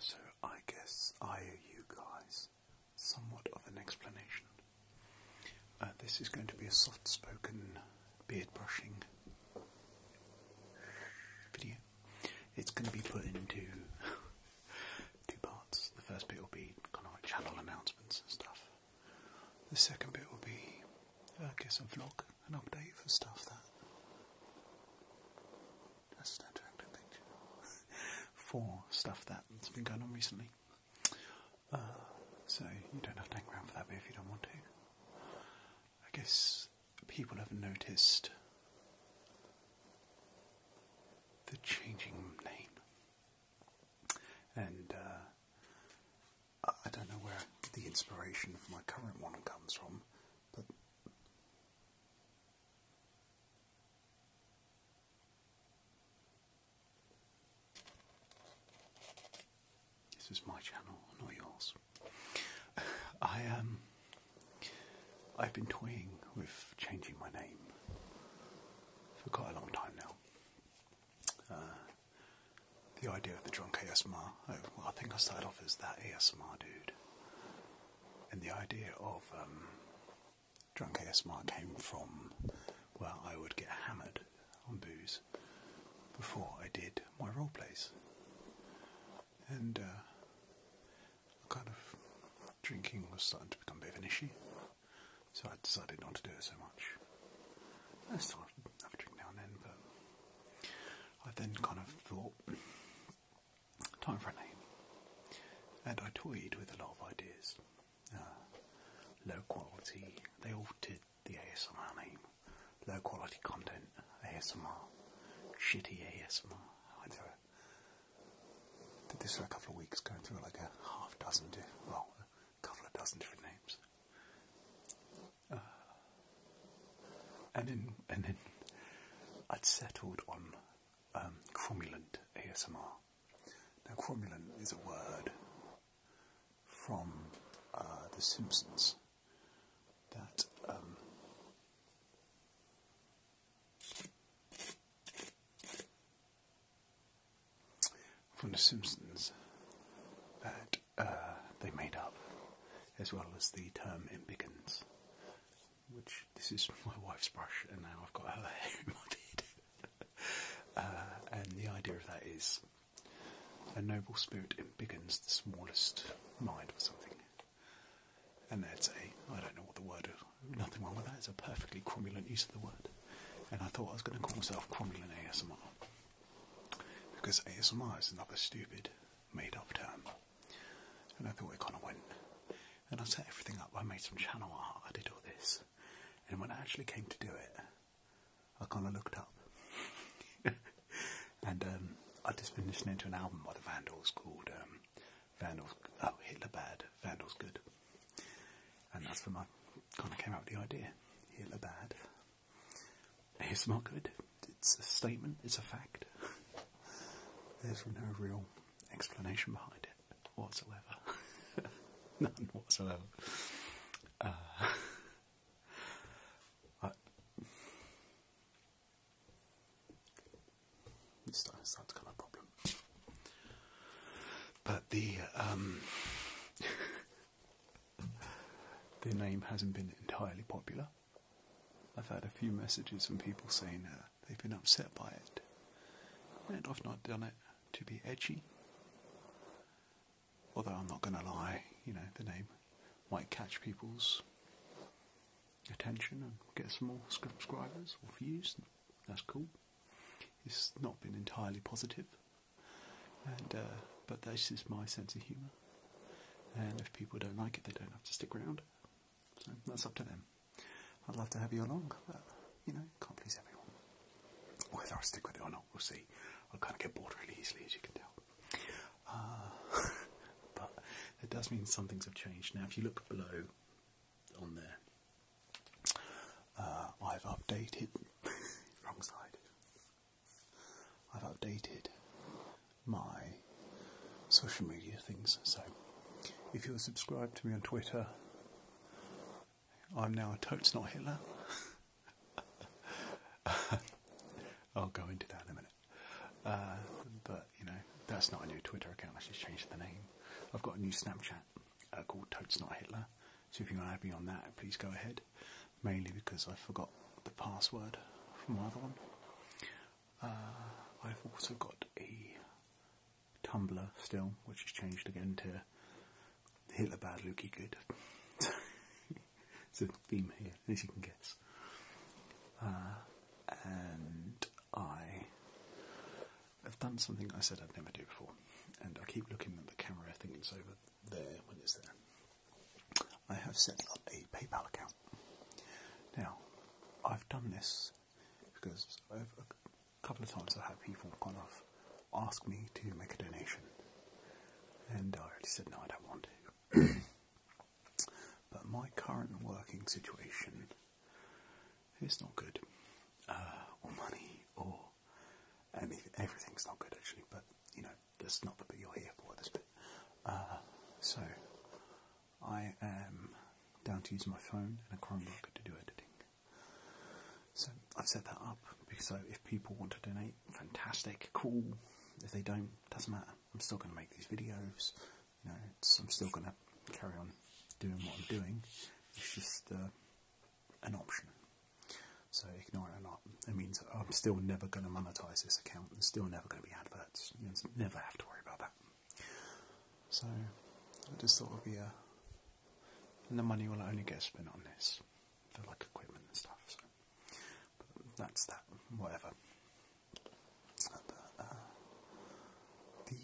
So I guess I owe you guys somewhat of an explanation. Uh, this is going to be a soft-spoken beard brushing video. It's going to be put into two parts. The first bit will be kind of channel announcements and stuff. The second bit will be, I guess, a vlog, an update for stuff that. That's an attractive for stuff that's been going on recently. Uh, so you don't have to hang around for that bit if you don't want to. I guess people have noticed the changing name. And uh, I don't know where the inspiration for my current one comes from, but this is my channel, not yours. I um, I've been toying with changing my name for quite a long time now. Uh, the idea of the drunk ASMR. Oh, I think I started off as that ASMR dude. And the idea of um, drunk ASMR came from, where I would get hammered on booze before I did my role plays. And uh, kind of drinking was starting to become a bit of an issue, so I decided not to do it so much. I still have a drink now and then, but I then kind of thought, time for a name. And I toyed with a lot of ideas. Uh, low quality, they altered the ASMR name. Low quality content, ASMR. Shitty ASMR. I did, did this for a couple of weeks, going through like a half dozen, well, a couple of dozen different names. Uh, and in and then I'd settled on um, ASMR. Now, cromulent is a word from uh, The Simpsons that um, from The Simpsons that uh, they made up, as well as the term "impigance," which this is my wife's brush, and now I've got her hair in my beard. Uh, and the idea of that is a noble spirit impigance the smallest mind or something. And that's a, I don't know what the word, nothing wrong with that, it's a perfectly cromulent use of the word. And I thought I was going to call myself cromulent ASMR. Because ASMR is another stupid made up term. And I thought it kind of went. And I set everything up, I made some channel art, I did all this. And when I actually came to do it, I kind of looked up. and um, I'd just been listening to an album by the Vandals called um, Vandals, oh, Hitler Bad, Vandals Good. And that's when I kind of came up with the idea Hitler Bad, it's not good. It's a statement. It's a fact. There's no real explanation behind it whatsoever. None whatsoever. Uh, it's starting to start to become a problem. But the um, the name hasn't been entirely popular. I've had a few messages from people saying uh, they've been upset by it, and I've not done it to be edgy. Although I'm not going to lie, you know, the name might catch people's attention and get some more subscribers or views. That's cool. It's not been entirely positive. Uh, but this is my sense of humour. And if people don't like it, they don't have to stick around. So that's up to them. I'd love to have you along, you know, can't please everyone. Whether I stick with it or not, we'll see. I kind of get bored really easily, as you can tell. Uh, but it does mean some things have changed. Now, if you look below on there, uh, I've updated. Wrong side. I've updated my social media things. So if you're subscribed to me on Twitter, I'm now totes not Hitler. I'll go into that in a minute. Uh, but you know, that's not a new Twitter account. I just changed the name. I've got a new Snapchat uh, called Totes Not Hitler. So if you want to have me on that, please go ahead mainly because I forgot the password for my other one. Uh, I've also got a Tumblr still, which has changed again to Hitler bad, Lukey good. it's a theme here, as you can guess. Uh, and I have done something I said I'd never do before, and I keep looking at the camera thinking it's over there when it's there. I have set up a PayPal account. Now, I've done this because a couple of times I've had people kind of ask me to make a donation, and I already said no, I don't want to. but my current working situation is not good, uh, or money, or anything. Everything's not good actually, but you know, that's not the bit you're here for, this bit. Uh, so, I am down to use my phone and a Chromebook to do editing. So, I've set that up because so if people want to donate, fantastic, cool. If they don't, doesn't matter. I'm still going to make these videos. I'm still going to carry on doing what I'm doing. It's just uh, an option. So ignore it or not, it means I'm still never going to monetize this account. There's still never going to be adverts. You never have to worry about that. So I just thought it would be uh, And the money will only get spent on this for like equipment and stuff. So that's that. Whatever. Uh, the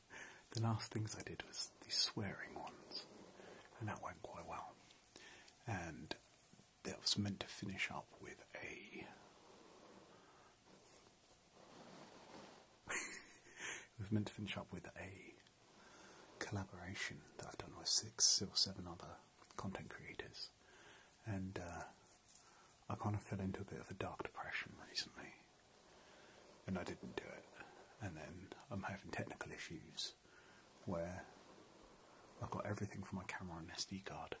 the last things I did was the swearing ones, and that went quite well. And that was meant to finish up with a. was meant to finish up with a collaboration that I've done with six or seven other content creators, and uh, I kind of fell into a bit of a dark depression recently, and I didn't do it, and then I'm having technical issues where I've got everything from my camera on an SD card,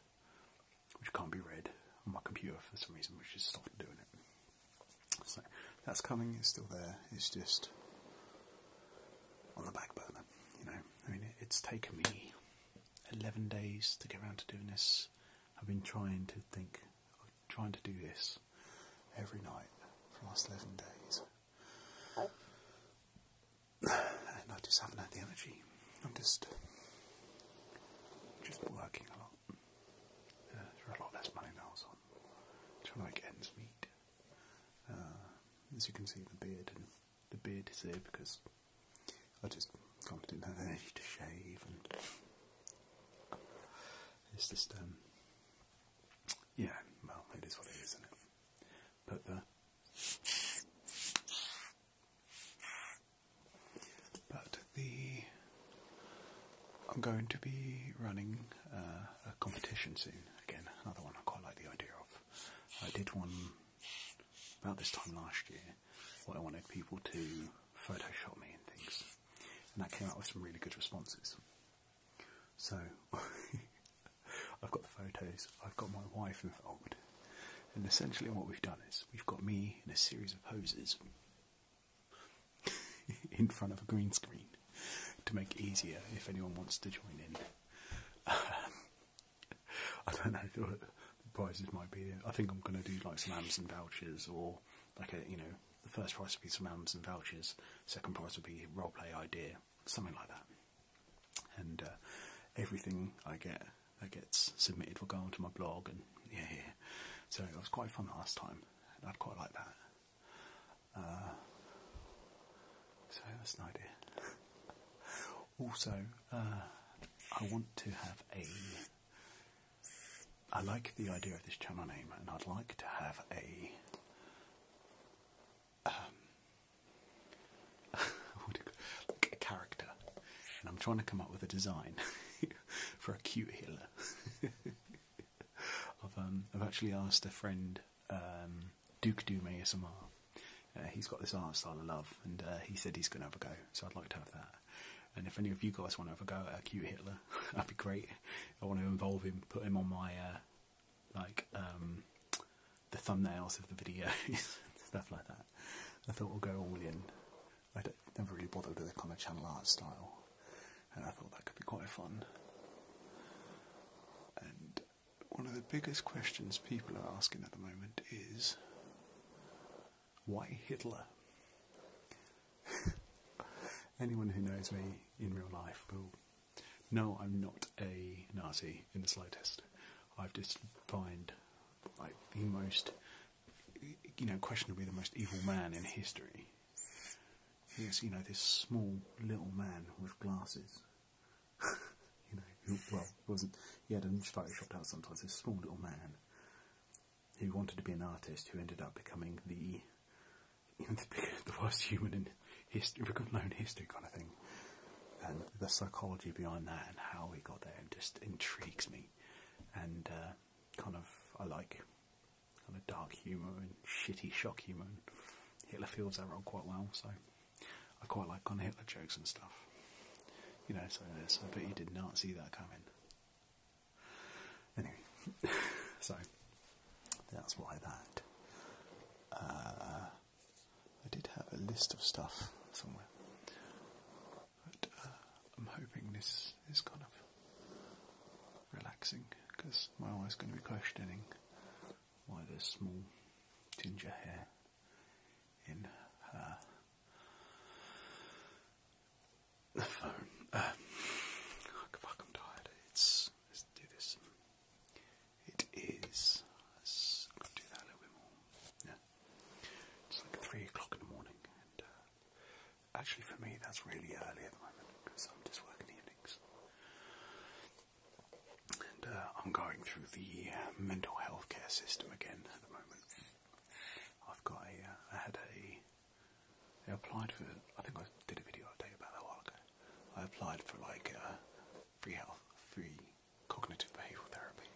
which can't be read on my computer for some reason, which is stopped doing it. So that's coming, it's still there, it's just on the back burner, you know. I mean, it's taken me 11 days to get around to doing this. I've been trying to think, trying to do this every night for the last 11 days. And I just haven't had the energy. I'm just just working a lot uh, for a lot less money than I trying to make ends meet. Uh, as you can see, the beard and the beard is there because I just kind of didn't have the energy to shave, and it's just um yeah, well, it is what it is, isn't it? but the but the I'm going to be running uh, a competition soon again. Another one I quite like the idea of. I did one about this time last year. Where I wanted people to Photoshop me and things, and that came out with some really good responses. So I've got the photos, I've got my wife involved. And essentially, what we've done is we've got me in a series of poses in front of a green screen to make it easier if anyone wants to join in. I don't know what the prizes might be. I think I'm going to do like some Amazon vouchers or like a, you know, the first prize would be some Amazon vouchers, second prize would be role play idea, something like that and uh, everything I get that gets submitted will go onto my blog, and yeah, yeah. So it was quite fun last time, I'd quite like that. Uh, so that's an idea. also, uh, I want to have a. I like the idea of this channel name, and I'd like to have a um, a character, and I'm trying to come up with a design for a cute Hitler. Um, I've actually asked a friend, um, Duke Doom ASMR. Uh, he's got this art style I love, and uh, he said he's going to have a go. So I'd like to have that. And if any of you guys want to have a go at a cute Hitler, that'd be great. I want to involve him, put him on my uh, like the thumbnails of the videos, stuff like that. I thought we'll go all in. I don't, never really bothered with the kind of channel art style, and I thought that could be quite fun. And one of the biggest questions people are asking at the moment is why Hitler? Anyone who knows me in real life will know I'm not a Nazi in the slightest. I've just find like the most, you know, questionably the most evil man in history. Yes, you know, this small little man with glasses. you know, well, wasn't he had him photoshopped out sometimes. This small little man who wanted to be an artist, who ended up becoming the you know, the, worst human in history, known history kind of thing and the psychology behind that and how he got there just intrigues me and uh, kind of I like kind of dark humour and shitty shock humour Hitler feels that role quite well so I quite like kind of Hitler jokes and stuff you know so, so I bet you did not see that coming anyway so that's why that uh, I did have a list of stuff somewhere, but uh, I'm hoping this is kind of relaxing because my wife's going to be questioning why there's small ginger hair in her the phone. Uh, I'm tired. let's do this. It is. Let's do that a little bit more. Yeah. It's like three o'clock in the morning, and uh, actually for me that's really early at the moment because I'm just working evenings. And uh, I'm going through the mental health care system again at the moment. I've got ai uh, had a. I applied for. I think I did a video update about that a I applied for like free health, free cognitive behavioural therapy,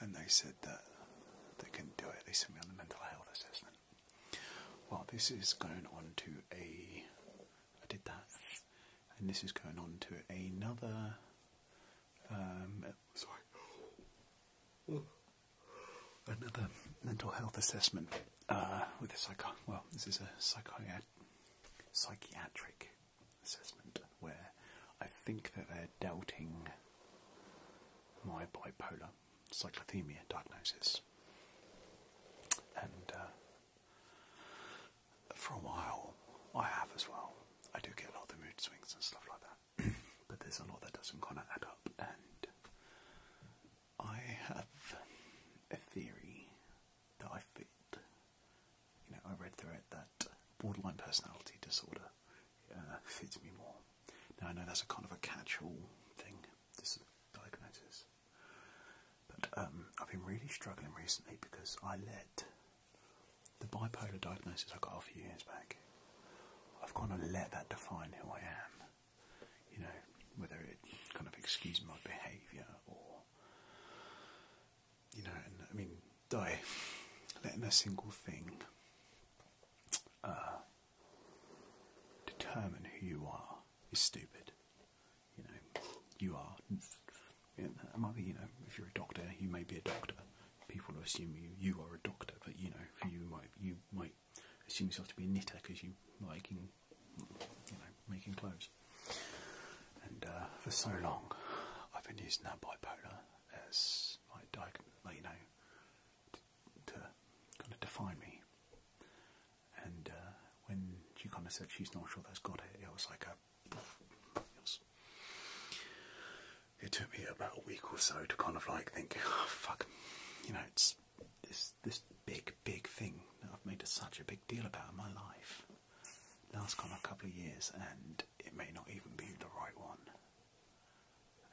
and they said that they can do it. They sent me on the mental health assessment. Well, this is going on to a. I did that, and this is going on to another. Um, sorry. Another mental health assessment uh, with a psych. Well, this is a psychiat psychiatric assessment where I think that they're doubting my bipolar cyclothemia diagnosis. And uh, for a while, I have as well. I do get a lot of mood swings and stuff like that, but there's a lot that doesn't kind of add up. And I have a theory that I fit you know, I read through it that borderline personality disorder uh, fits me more. Now I know that's a kind of a catch-all thing, this diagnosis. But um, I've been really struggling recently because I let the bipolar diagnosis I got a few years back. I've kind of let that define who I am. You know, whether it kind of excuses my behaviour or you know, and, I mean, die, letting a single thing uh, determine who you are is stupid. You know, you are. You know, you know, if you're a doctor, you may be a doctor. People assume you you are a doctor, but you know, you might you might assume yourself to be a knitter because you like in, you know making clothes and uh, for so long I've been using that bipolar as my diagnosis, you know, to, kind of define me. And uh, when she kind of said she's not sure that's got it, it was like a. It, it took me about a week or so to kind of like think, oh, fuck, you know, it's this this big big thing that I've made such a big deal about in my life last kind of couple of years, and it may not even be the right one.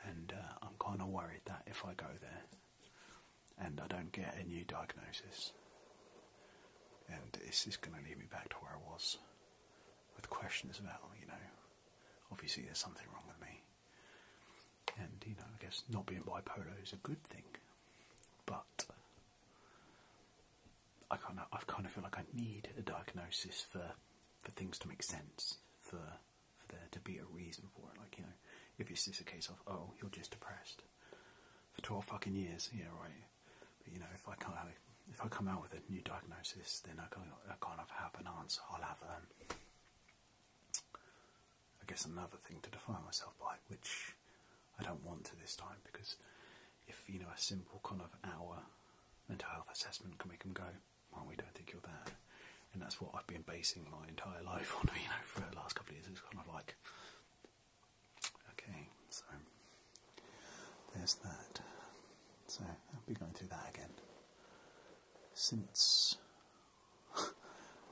And uh, I'm kind of worried that if I go there and I don't get a new diagnosis, and it's just going to lead me back to where I was with questions about, you know, obviously there's something wrong with me. And, you know, I guess not being bipolar is a good thing, but I kind of, I kind of feel like I need a diagnosis for, for things to make sense, for, for there to be a reason for it. Like you know, if it's just a case of oh you're just depressed for twelve fucking years, yeah right. But you know, if I can't, if I come out with a new diagnosis, then I kind of, I kind of have an answer. I'll have them. Um, I guess another thing to define myself by, which I don't want to this time because if you know a simple kind of hour mental health assessment can make them go, well, we don't think you're there. And that's what I've been basing my entire life on, you know, for the last couple of years. It's kind of like, okay, so there's that. So I'll be going through that again. Since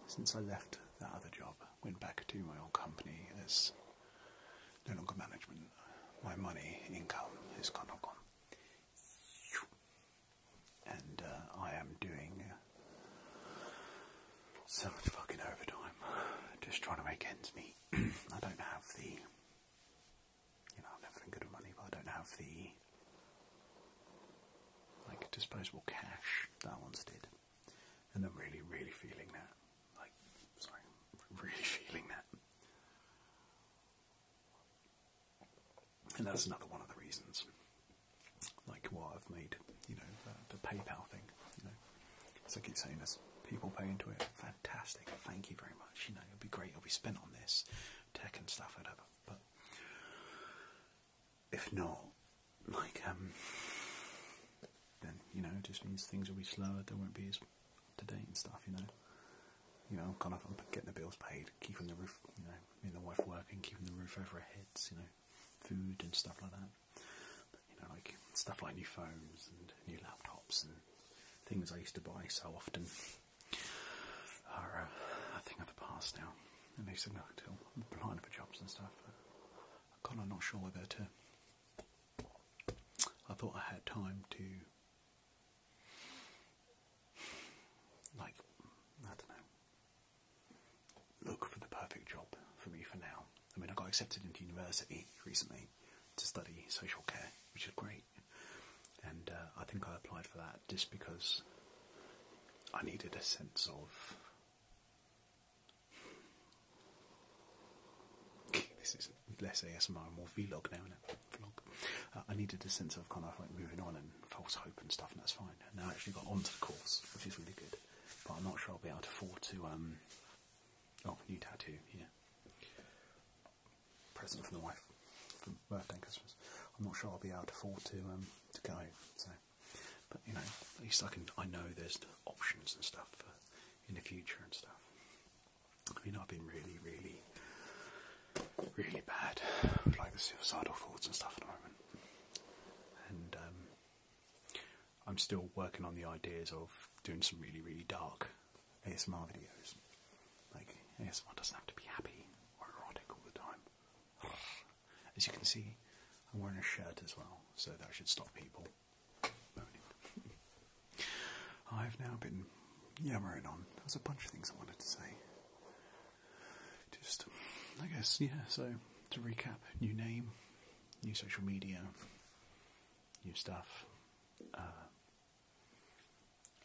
since I left that other job, went back to my old company as no longer management, my money income is kind of gone. And uh, I am doing uh, so much fucking overtime, just trying to make ends meet. I don't have the, you know, I've never been good at money, but I don't have the, like, disposable cash that once did. And I'm really, really feeling that. Like, sorry, really feeling that. And that's another one of the reasons, like what I've made, you know, the, PayPal thing. You know, so I keep saying, this: people pay into it, fantastic. Thank you very much. You know, it'll be great. It'll be spent on this tech and stuff, whatever. But if not, like um, then you know, it just means things will be slower. There won't be as to date and stuff, you know. You know, I'm kind of getting the bills paid, keeping the roof, you know, me and the wife working, keeping the roof over our heads, you know, food and stuff like that. you know, like stuff like new phones and new laptops and things I used to buy so often are uh, a thing of the past now. And they said, no, I'm applying for jobs and stuff. I'm kind of not sure whether to. I thought I had time to like, I don't know. Look for the perfect job for me for now. I mean, I got accepted into university recently to study social care, which is great. And uh, I think I applied for that just because I needed a sense of. this is less ASMR and more vlog now, is Vlog. Uh, I needed a sense of kind of like moving on and false hope and stuff, and that's fine. And I actually got onto the course, which is really good. But I'm not sure I'll be able to afford to. um Oh, new tattoo, yeah. Present from the wife from birthday and Christmas. I'm not sure I'll be able to afford to um to go. So, but you know, at least I can. I know there's options and stuff for in the future and stuff. I mean, I've been really, really, really bad with like the suicidal thoughts and stuff at the moment, and um, I'm still working on the ideas of doing some really, really dark ASMR videos. Like ASMR doesn't have to be happy or erotic all the time. As you can see, I'm wearing a shirt as well, so that should stop people moaning. Oh, I've now been yammering on. There's a bunch of things I wanted to say. Just, I guess, yeah, so to recap new name, new social media, new stuff. Uh,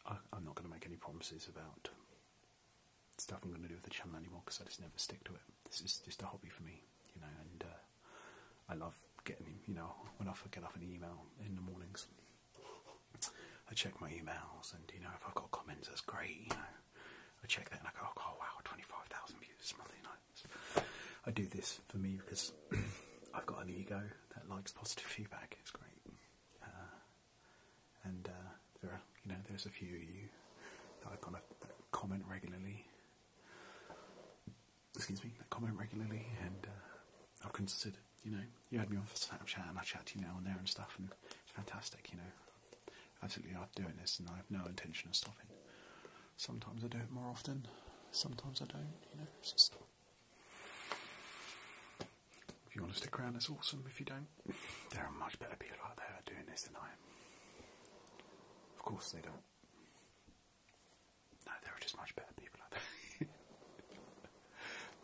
I, am not going to make any promises about stuff I'm going to do with the channel anymore because I just never stick to it. This is just a hobby for me, you know, and uh, I love getting, you know, when I get up an email in the mornings I check my emails, and you know, if I've got comments, that's great. You know, I check that and I go, oh wow, twenty-five thousand views I do this for me because I've got an ego that likes positive feedback. It's great, uh, and uh, there you know, there's a few of you that I kind of comment regularly. Excuse me, that comment regularly, and uh, i will consider. You know, you had me on for Snapchat and I chat to you now and there and stuff, and it's fantastic. You know, absolutely love doing this, and I have no intention of stopping. Sometimes I do it more often, sometimes I don't. You know, just. If you want to stick around, it's awesome. If you don't, there are much better people out there doing this than I am. Of course, they don't there are just much better people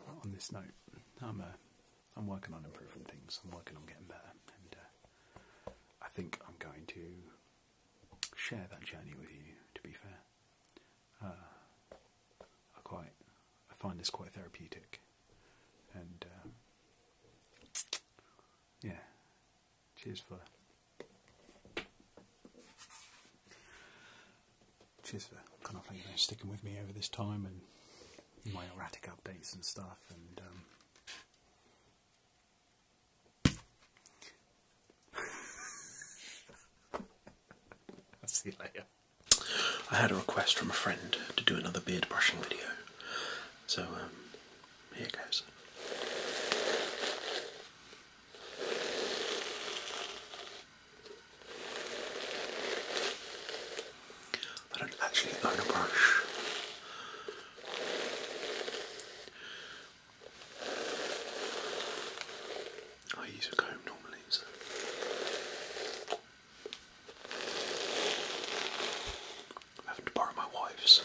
on this note, I'm uh, am working on improving things. I'm working on getting better, and uh, I think I'm going to share that journey with you. To be fair, uh, I quite I find this quite therapeutic, and uh, yeah, cheers for Cheers for kind of sticking with me over this time and my erratic updates and stuff. And um, I'll see you later. I had a request from a friend to do another beard brushing video, so um, here goes. I don't actually own a brush. I use a comb normally, having to borrow my wife's.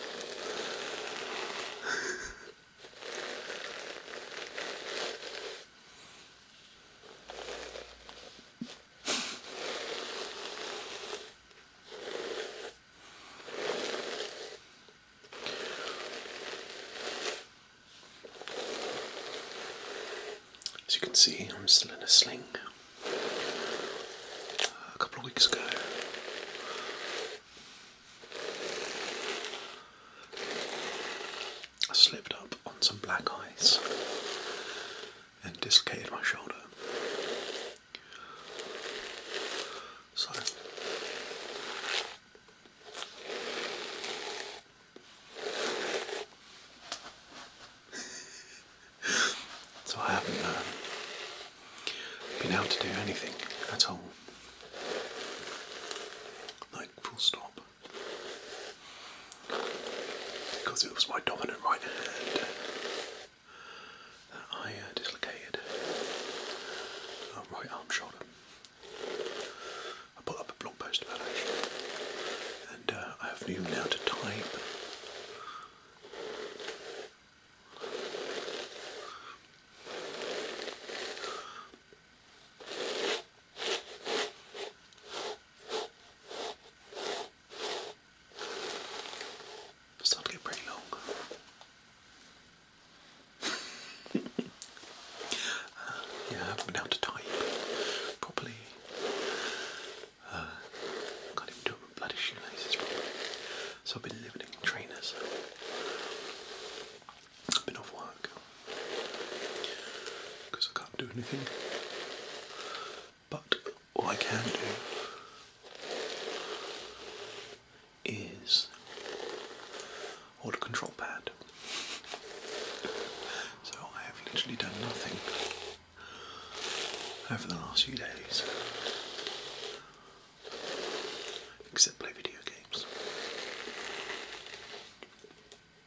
As you can see, I'm still in a sling. Uh, a couple of weeks ago, I slipped up on some black ice and dislocated my shoulder. So so I haven't uh, been able to do anything at all. Like full stop because it was my dominant right hand that I uh, dislocated my right arm shoulder. I put up a blog post about it, and uh, I have new now to type starting to get pretty long. yeah, I haven't been able to type properly. Uh, can't even do bloody shoelaces properly. So I've been living in trainers. I've been off work because I can't do anything. But all I can do is hold a control pad. So I have literally done nothing over the last few days except play video games.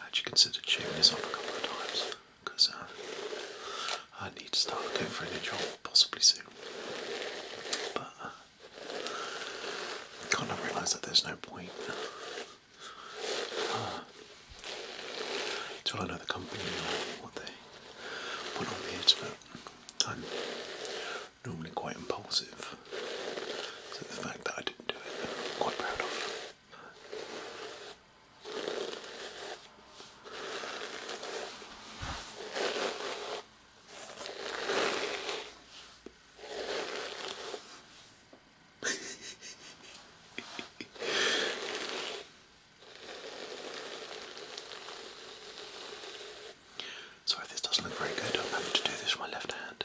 I actually considered shaving this off a couple of times because uh, I need to start looking for a new job possibly soon. But uh, I kind of realise that there's no point uh, until I know the company or what they put on it. But I'm normally quite impulsive, so the fact that I didn't do it, I'm quite proud of. Sorry, if this doesn't look very good. I'm having to do this with my left hand.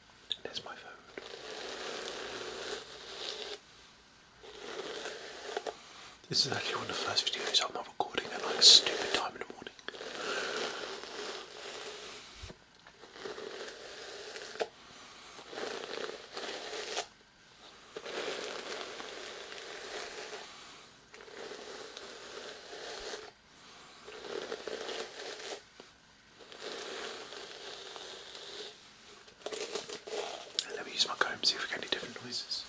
There's my phone. This is actually one of the first videos I'm recording at like a stupid time in the morning let me use my comb, see if we get any different noises.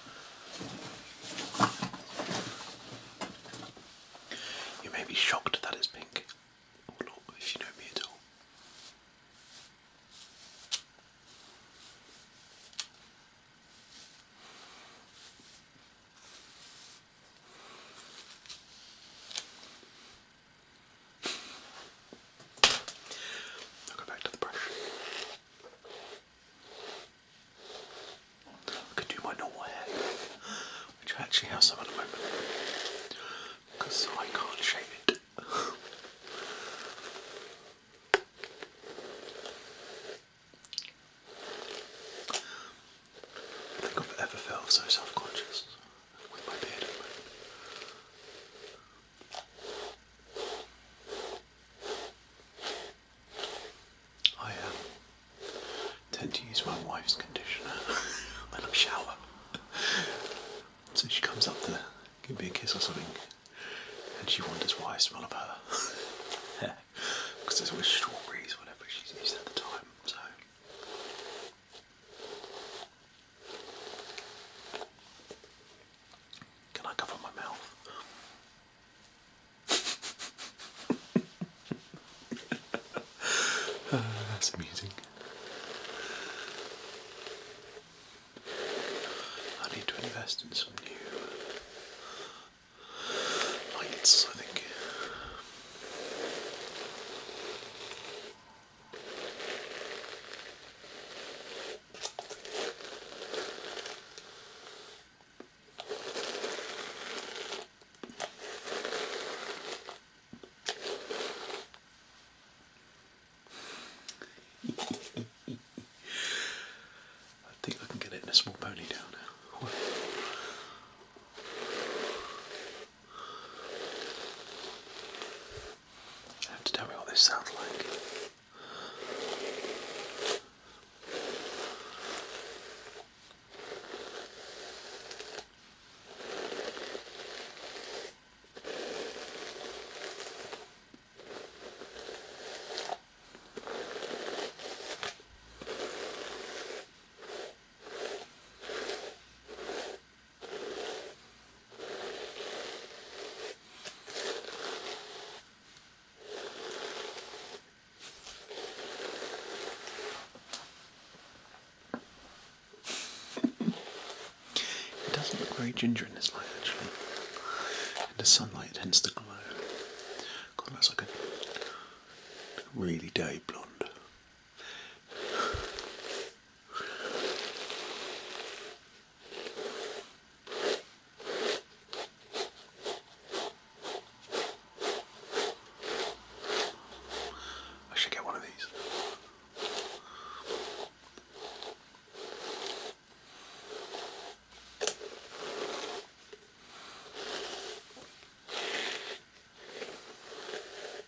You may be shocked that it's pink, if you know me at all. I'll go back to the brush. I could do my normal hair, which I actually have some at the moment, because I can't shave it. I think I've ever felt so self-conscious. I um, tend to use my wife's conditioner when I shower. so she comes up to give me a kiss or something, and she wonders why I smell of her. Because yeah. there's always strawberries, whatever she's used at the time. So can I cover my mouth? Ah, that's amusing. I need to invest in some new lights, I think. I think I can get it in a small ponytail now. You have to tell me what this sounds like it doesn't look very ginger in this light actually. In the sunlight hence the glow. God that's like a really day blonde. I should get one of these.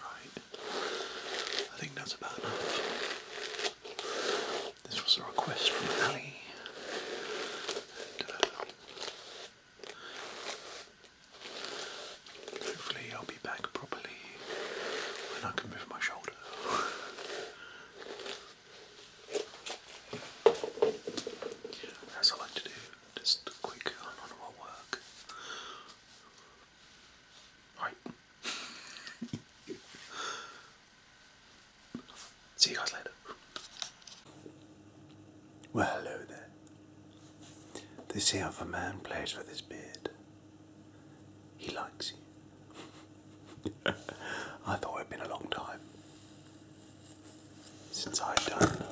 Right. I think that's about enough. This was a request from Ali. hopefully I'll be back properly when I can move my shoulder. As I like to do. Just a quick on what work. Right. See you guys later. Well, hello there. This here if man plays with his beard, he likes you. I thought it'd been a long time since I've done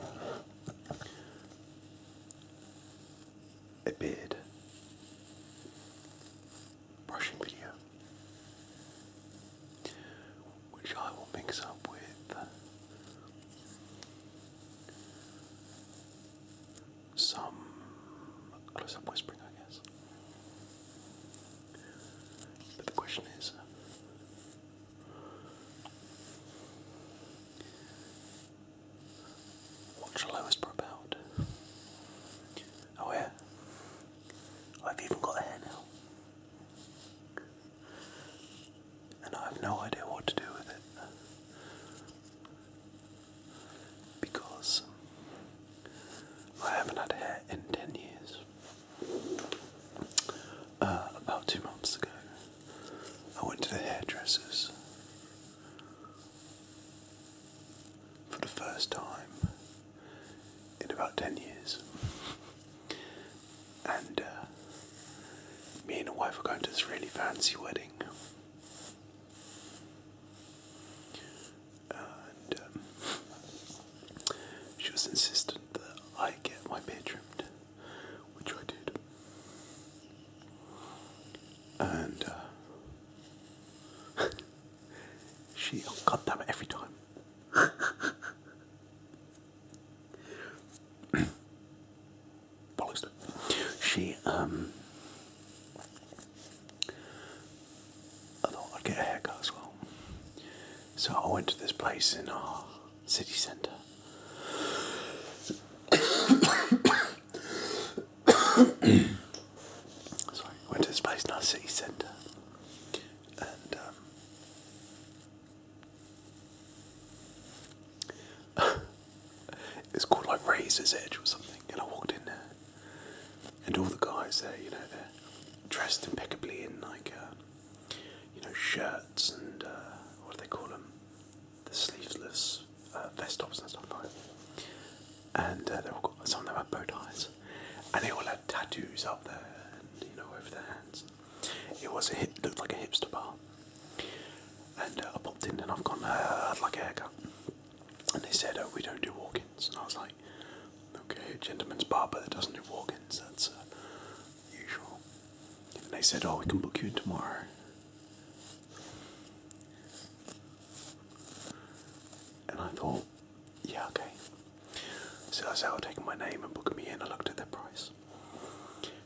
a beard brushing video, which I will mix up with some close up whispering, I guess. But the question is What's lowest per pound? Oh yeah. I've even got a hair now. And I have no idea what to do with it. Because I haven't had hair in ten years. Uh, about two months ago, I went to the hairdresser's for the first time in about 10 years. And uh, me and my wife were going to this really fancy wedding. And um, she was insistent that I get my beard trimmed which I did. And uh, she, oh, God damn it, every time. Bollocks. She, um, I thought I'd get a haircut as well. So I went to this place in our uh, city center. Sorry, went to this place, nice city center, and um, it's called like Razor's Edge or something. And I walked in there, and all the guys there, you know, they're dressed impeccably in like. Um, you know, shirts and uh, what do they call them? The sleeveless uh, vest tops and stuff like that. And uh, they all got, some of them had bow ties, and they all had tattoos up there and you know over their hands. It was a hip, looked like a hipster bar. And I popped in and I've got like a haircut. And they said, oh, we don't do walk-ins. And I was like, okay, a gentleman's barber that doesn't do walk-ins, that's, usual. And I said, Oh, we can book you in tomorrow. And I thought, Yeah, okay. So I said, I'll take my name and book me in. I looked at their price.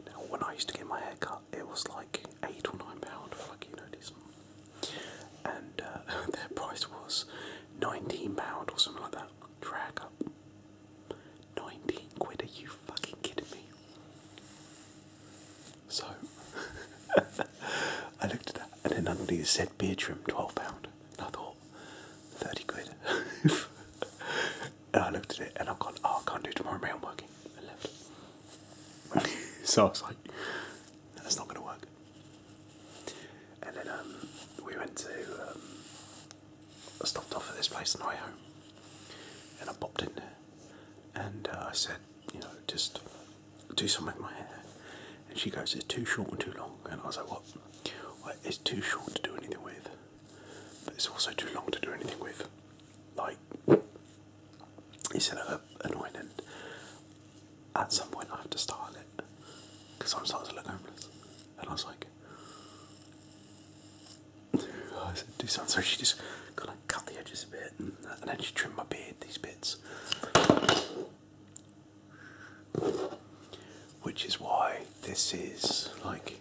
Now, when I used to get my hair cut, it was like eight or nine pounds for like, you know, decent. And uh, their price was £19 or something like that for a 19 quid, are you fucking kidding me? So, I looked at that and then underneath it said beer trim, £12. And I thought, 30 quid. and I looked at it and I've gone, oh, I can't do tomorrow, mate, I'm working. And left. so I was like, that's not going to work. And then um, we went to um, I stopped off at this place on the way home, and I popped in there, and uh, I said, you know, just do something with my hair. And she goes, it's too short and too long. And I was like, what? it's too short to do anything with, but it's also too long to do anything with. Like, it's oh, annoying, and at some point I have to style it because I'm starting to look homeless. And I was like, oh, do something. So she just kind of cut the edges a bit, and, then she trimmed my beard these bits, which is why this is like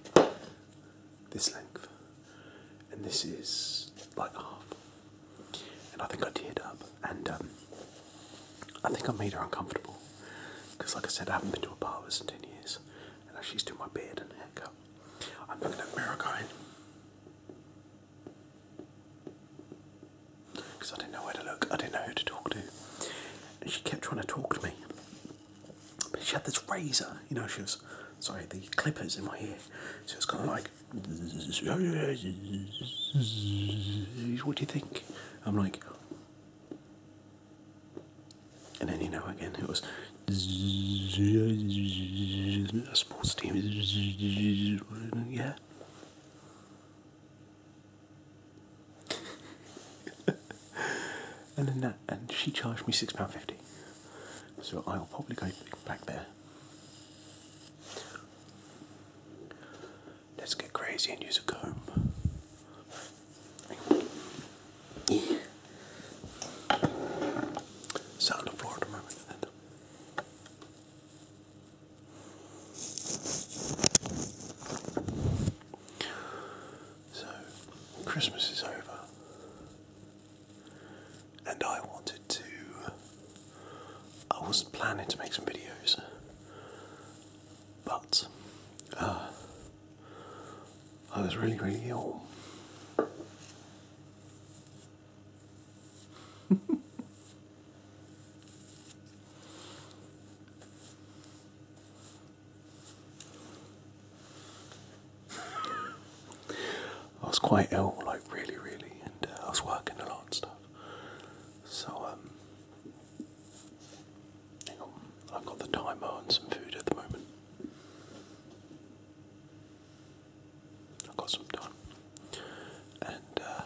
this length, and this is like half. And I think I teared up, and um, I think I made her uncomfortable because, like I said, I haven't been to a barber in ten years, and now she's doing my beard and haircut. I'm looking at America because I didn't know where to look. I didn't know who to talk to. And she kept trying to talk to me. But she had this razor, you know, she was, sorry, the clippers in my ear. She was kind of like, what do you think? I'm like, and then, you know, again, it was a sports team. Yeah. and then that, and she charged me £6.50. So I'll probably go back there. Let's get crazy and use a comb. Sound of Florida, remember that. So, Christmas is over, and I wanted to. I was planning to make some videos, but uh, I was really, really ill. I was quite ill, like really, really, and uh, I was working a lot and stuff. So, um, I've got the timer and some food at the moment i got some time. And, uh,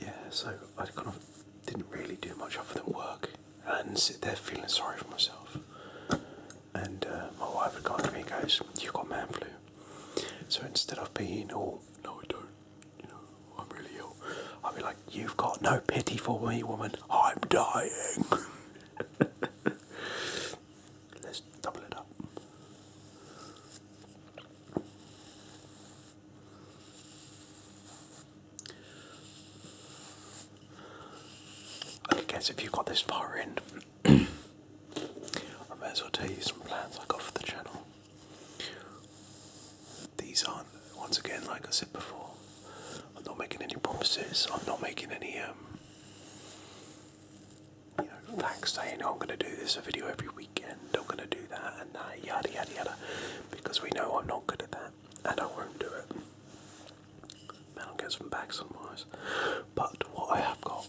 yeah, so I kind of didn't really do much other than work and sit there feeling sorry for myself. And uh, my wife had gone to me and goes, You've got man flu. So instead of being all, oh, No, I don't, you know, I'm really ill, I'd be like, You've got no pity for me, woman. I'm dying. Let's double it up. I guess if you got this far in, I may as well tell you some plans I got for the channel. These aren't once again, like I said before, I'm not making any promises. I'm not making any um, you know, facts saying oh, I'm going to do this video every weekend. I'm going to do that and that, yada yada yada, because we know I'm not good at that, and I won't do it. Man, I'll get some back somewise. But what I have got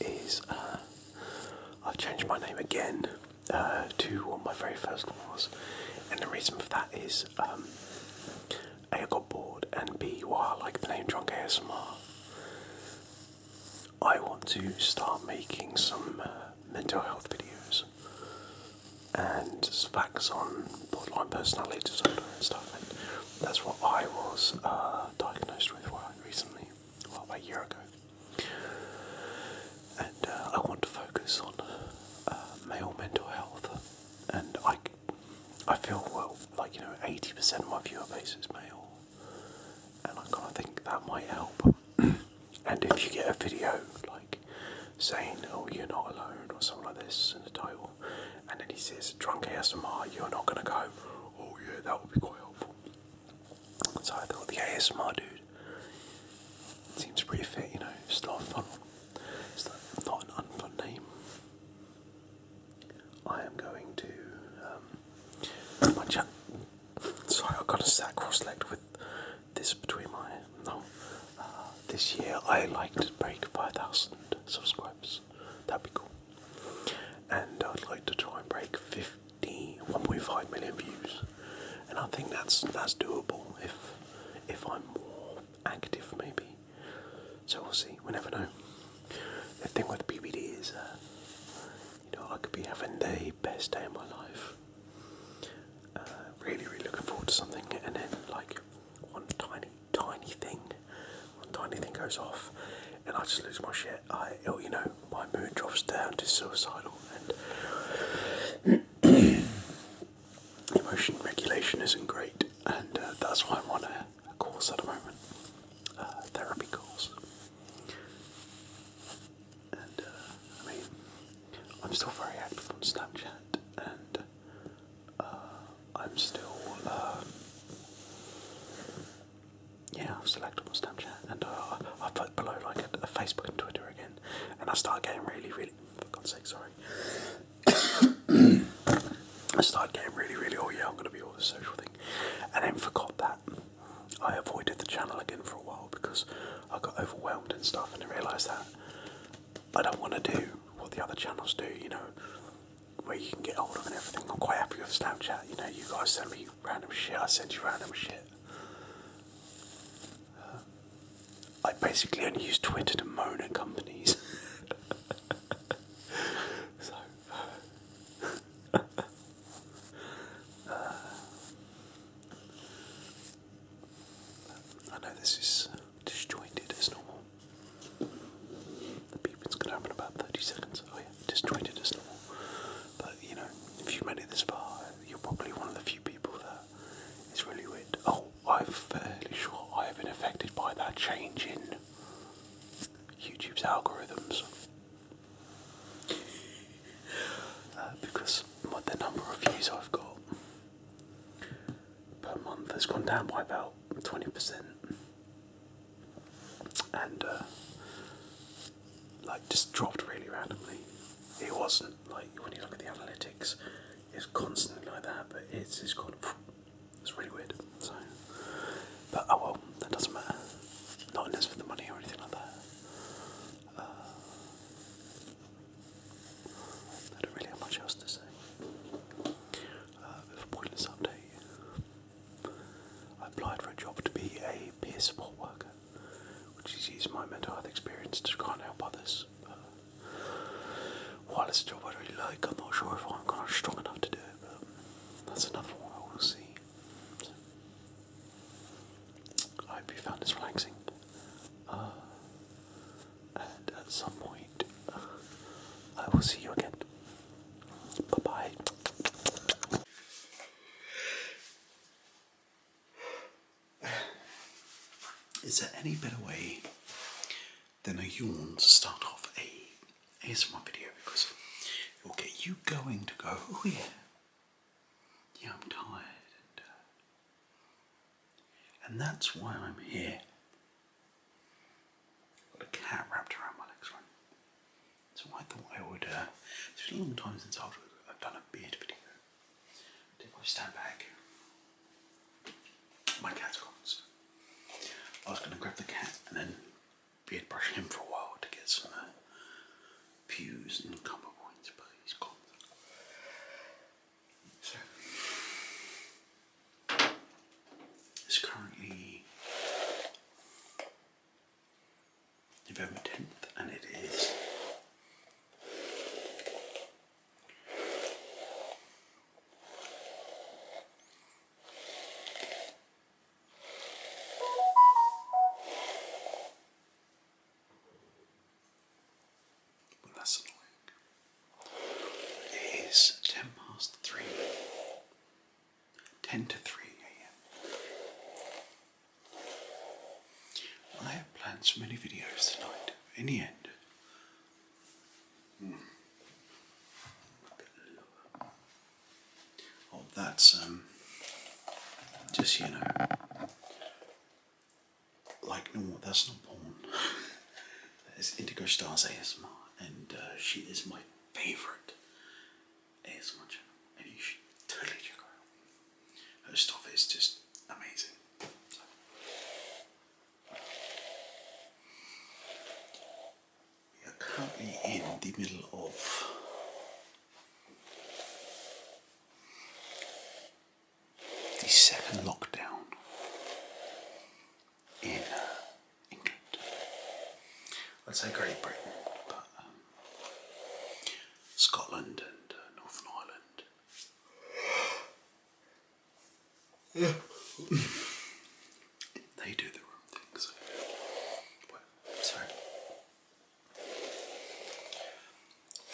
is uh, I've changed my name again uh, to what my very first one was, and the reason for that is is um, A, I got bored, and B, wow, I like the name Drunk ASMR. I want to start making some uh, mental health videos and facts on borderline personality disorder and stuff. that's what I was uh, diagnosed with recently, about a year ago. And uh, I want to focus on male mental health and I, I feel well, like you know, eighty percent of my viewer base is male, and I kind of think that might help. and if you get a video like saying, "Oh, you're not alone," or something like this in the title, and then he says, "Drunk ASMR," you're not gonna go, "Oh yeah, that would be quite helpful." So I thought the ASMR dude seems pretty fit, you know, stuff. Is that not an unfun name? I am going to. Um, Sorry, I've got a sat cross-legged with this between my. No. Uh, this year I like to break 5,000 subscribers. That'd be cool. And I'd like to try and break 50, 1.5 million views. And I think that's that's doable if if I'm more active, maybe. So we'll see. We never know. The thing with BBD is, uh, you know, I could be having the best day of my life. Uh, really, really looking forward to something, and then like one tiny, tiny thing, one tiny thing goes off, and I just lose my shit. I, oh, you know, my mood drops down to suicidal, emotion regulation isn't great, and uh, that's why I'm on a, course at the moment, a therapy course. And uh, I mean, I'm still very active on Snapchat, and uh, I'm still, yeah, I'm still active on Snapchat, and I I put below like a, a Facebook and Twitter again, and I start getting really, really, for God's sake, sorry. I started getting really, really, oh yeah, I'm going to be all the social thing, and then forgot that. I avoided the channel again for a while because I got overwhelmed and stuff, and I realised that I don't want to do what the other channels do, you know, where you can get older and everything. I'm quite happy with Snapchat, you know, you guys send me random shit, I send you random shit. I basically only use Twitter to moan at companies. so. Uh, uh, I know this is disjointed as normal. The beeping's gonna happen about 30 seconds. Oh, yeah, disjointed as normal. But you know, if you made it this far, you're probably one of the few people that is really weird. Oh, I'm fairly sure I have been affected by that change in YouTube's algorithms. Uh, because the number of views I've got per month has gone down by about 20%. And, uh, like, just dropped really randomly. It wasn't like when you look at the analytics, it's constantly like that, but it's, it's gone. It's really weird. So, but oh well, that doesn't matter. Not unless for the money or anything like that. Uh, I don't really have much else to say. Uh, bit of a pointless I applied for a job to be a peer support worker, which is using my mental health experience to try and help others. Uh, while it's a job I like, I'm not sure if I'm strong enough to do it, but that's another one I will see. I hope you found this relaxing. Uh, and at some point, uh, I will see you again. Bye bye. Is there any better way then a yawn to start off a ASMR video because it will get you going to go, oh yeah, yeah, I'm tired. And, uh, that's why I'm here. i got a cat wrapped around my legs, So I thought I would, uh, it's been a long time since I've done a beard video. If I stand back, my cat's gone, I was going to grab the cat and then beard brush him for a while to get some uh, pews and cover points, but he's gone. So it's currently November 10th and it is well, that's annoying. It is ten past three. Ten to three a.m. I have plans for many videos tonight. In the end, Hmm. Oh, that's um, just you know, like no, that's not porn. it's Indigo Stars ASMR, and uh, she is my favorite ASMR channel, and you should totally check her out. Her stuff is just amazing. We are currently in the middle of the second lockdown in England. I'd say Great Britain, but um, Scotland and uh, Northern Ireland yeah. they do the wrong things. Well, sorry.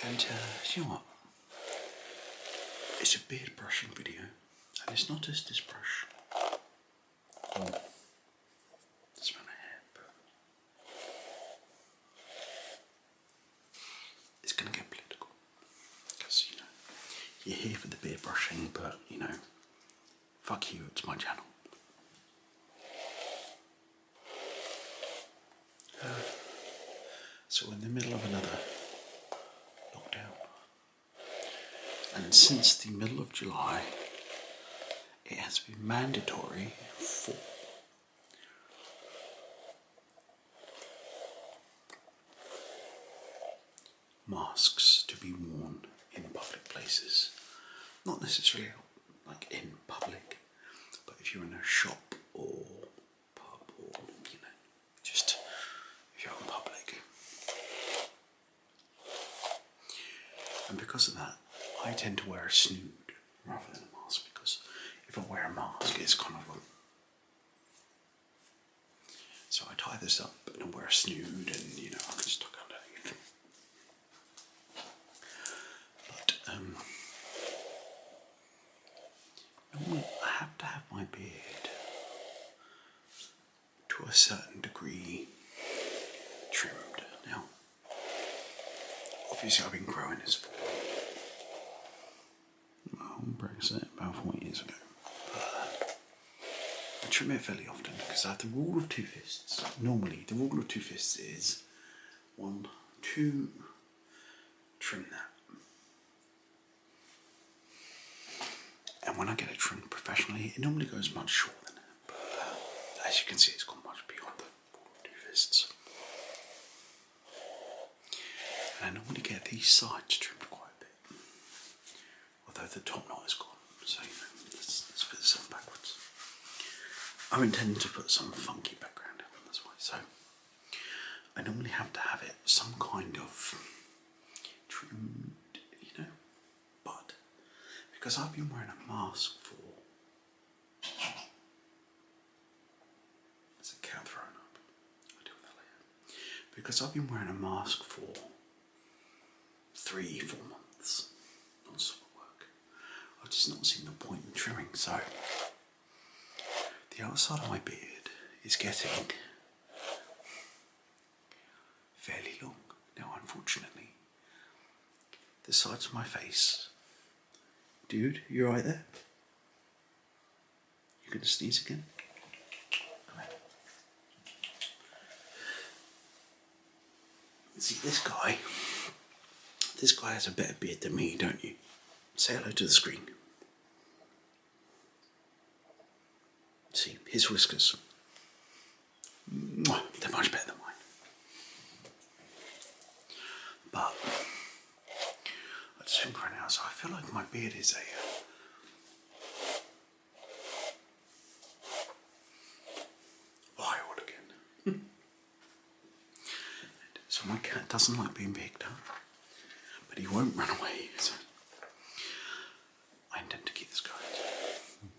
And uh, you know what? It's a beard brushing video, and it's not just this brush. Oh. It's my hair, it's gonna get political. Because, you know, you're here for the beard brushing, but, you know, fuck you, it's my channel. so we're in the middle of another lockdown. And since the middle of July, it has been mandatory for masks to be worn in public places. Not necessarily like in public, but if you're in a shop or pub or, you know, just if you're in public. And because of that, I tend to wear a snood rather than a mask because if I wear a mask, it's kind of a so I tie this up and I wear a snood and you know I can just tuck underneath. But um, I have to have my beard to a certain degree trimmed. Now obviously I've been growing this for my whole Brexit about four years ago. I trim it fairly often because I have the rule of two fists. Normally, the rule of two fists is one, two, trim that. And when I get it trimmed professionally, it normally goes much shorter than that. But as you can see, it's gone much beyond the rule of two fists. And I normally get these sides trimmed quite a bit although the top knot is gone, so you know, let's, put this backwards. I'm intending to put some funky background in this way, so I normally have to have it some kind of trimmed, you know, but because I've been wearing a mask for it's a cat thrown up. i deal with that later. Because I've been wearing a mask for three, four months non-stop work. I've just not seen the point in trimming, so the outside of my beard is getting fairly long. Now, unfortunately, the sides of my face. Dude, you are right there? You're going to sneeze again? See, this guy, this guy has a better beard than me, don't you? Say hello to the screen. See, his whiskers. they're much better than mine. But, I've just been crying out, so I feel like my beard is a. Wild again. so my cat doesn't like being picked up, but he won't run away. So I intend to keep this going.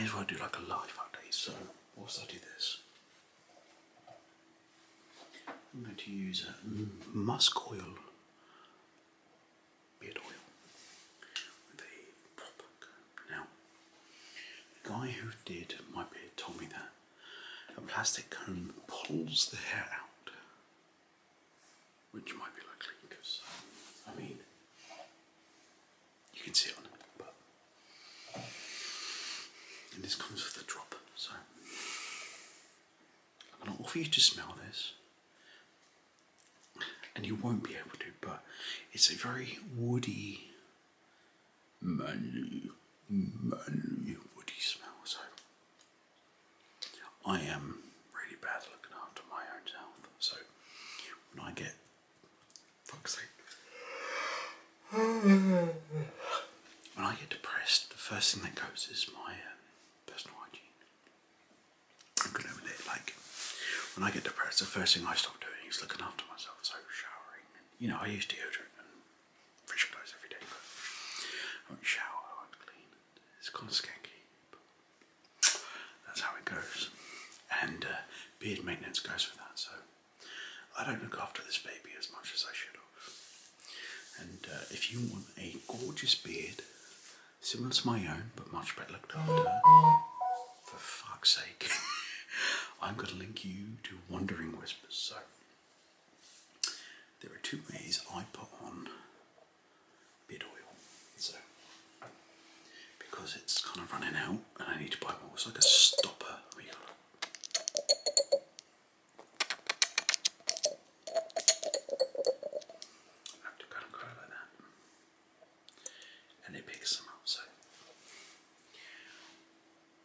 May as well do like a live update. So whilst I do this, I'm going to use a musk oil beard oil with a Now, the guy who did my beard told me that a plastic comb pulls the hair out, which might be likely because, I mean, you can see it on it, but. And this comes with a drop, so I'm going to offer you to smell this and you won't be able to, but it's a very woody, manly, manly woody smell. So I am really bad looking after my own health. So when I get, fuck's sake, when I get depressed, the first thing that goes is my um, personal hygiene. I'm gonna with Like when I get depressed, the first thing I stop doing is looking after myself. So showering, you know, I use deodorant and fresh clothes every day, but I do not shower, I do not clean. It's kind of skanky, but that's how it goes. And uh, beard maintenance goes for that. So I don't look after this baby as much as I should have. And uh, if you want a gorgeous beard similar to my own, but much better looked after. For fuck's sake. I'm going to link you to Wandering Whispers. So, there are two ways I put on beard oil. So, because it's kind of running out and I need to buy more, it's like a stopper. I have to kind of like that. And it picks them up, so.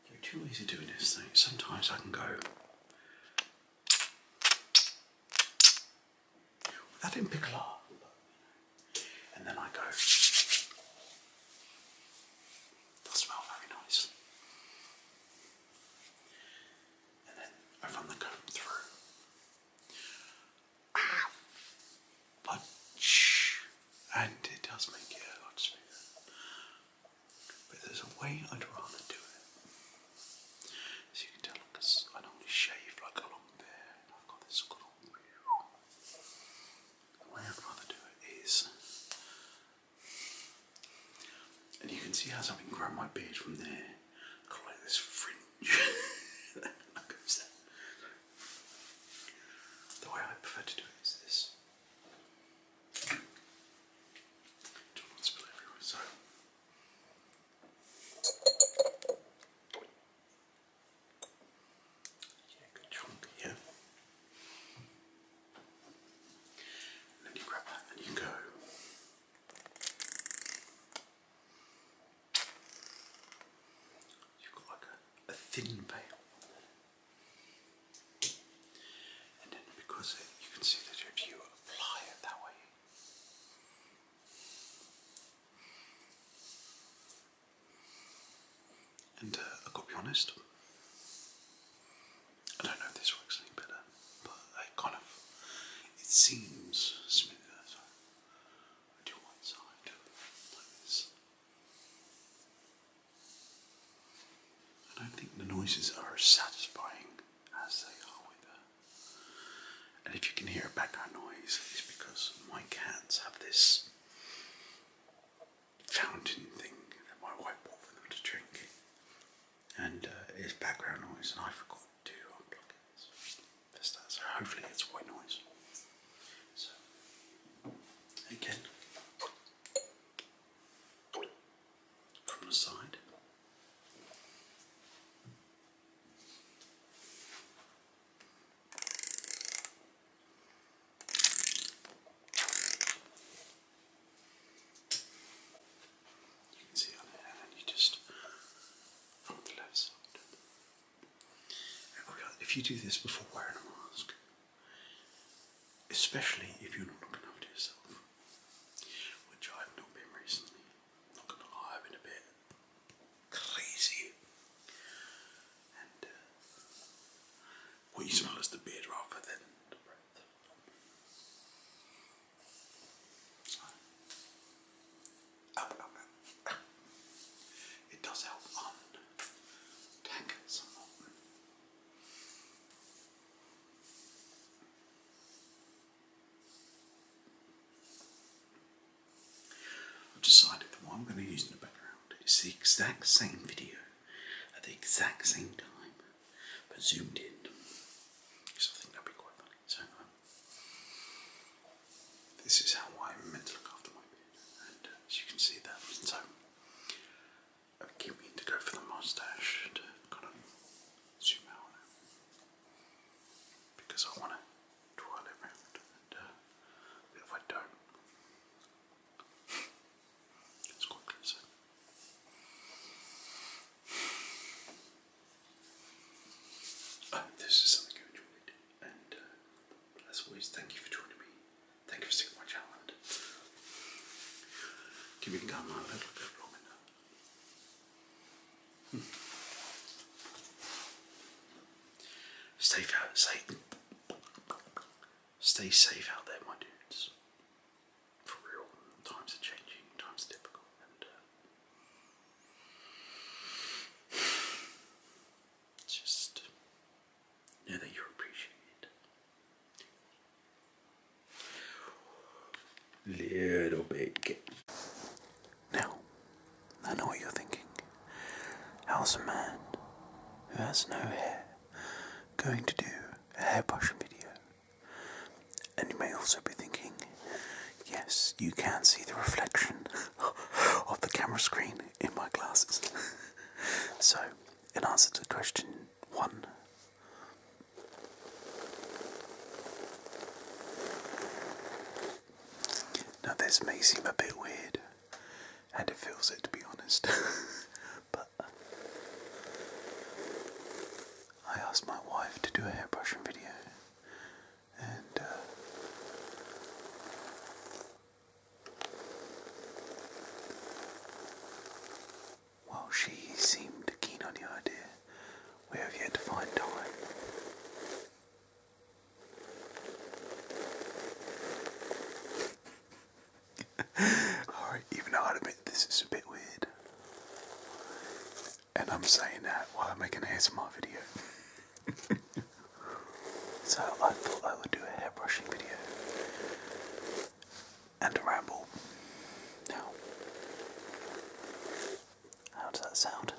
There are two ways of doing this thing. Sometimes I can go. That didn't pick a lot. And then I go. That smells very nice. And then I run the comb through but shh, and it does make you a lot smoother. But there's a way I'd rather do it. So you can tell, because I normally shave like a long beard, I've got this little. The way I'd rather do it is, and you can see how something grow my beard from there like this fringe The way I prefer to do it is this. so. Yeah, good chunk here. And then grab that and you go. You've got like a, thin veil. And then because it, you can see that if you apply it that way, and uh, I've got to be honest, I don't know if this works any better, but I kind of, it seems smoother. So. I do one side I don't think the noises are as satisfying as they are with her. And if you can hear background noise, it's because my cats have this fountain thing that my wife bought for them to drink. And uh, it's background noise, and I forgot to unplug it hopefully it's quite noise. So, again, from the side. You can see on there, and you just on the left side. If you do this before wearing a mask, especially if you're not looking after yourself, which I've not been recently, not gonna lie, I've been a bit crazy. And uh, what you smell is the beard rather than the breath. Oh, oh, oh. It does help on tank somewhat. I've decided that what I'm going to use in the background is the exact same video at the exact same time, but zoomed in. Because I think that'd be quite funny. This is how I'm meant to look after my beard, and uh, as you can see that, so I'm uh, keen to go for the moustache to uh, kind of zoom out because I want to twirl it around, and uh, if I don't, it's quite close. Oh, this is something you enjoyed, and uh, as always, thank you for joining me. Thank you for sticking my channel Keep it down my little bit hmm. Stay safe. Stay safe out there, my dudes. For real, times are changing, times are difficult, uh, just know that you're appreciated. Little bit. Now, I know what you're thinking. How's a man who has no hair going to do a hairbrush video? And you may also be thinking, yes, you can see the reflection of the camera screen in my glasses. so, in answer to question one, now this may seem a bit weird, and it feels it to be honest, but uh, I asked my wife to do a hairbrushing video and uh, she seemed keen on the idea, we have yet to find time. Alright, even i admit this is a bit weird. And I'm saying that while I am make an ASMR video. so I thought I would do a hairbrushing video and a ramble. how does that sound?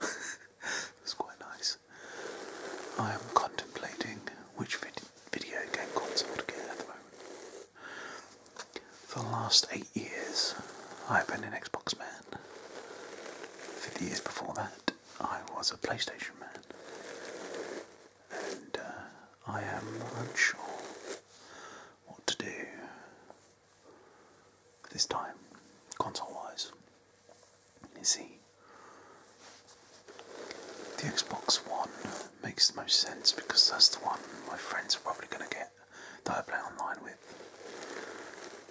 it's quite nice. I am contemplating which video game console to get at the moment. For the last eight years, I've been an Xbox man. Fifty years before that, I was a PlayStation man. And uh, I am unsure what to do this time, console wise. You see, the Xbox One makes the most sense because that's the one my friends are probably going to get that I play online with.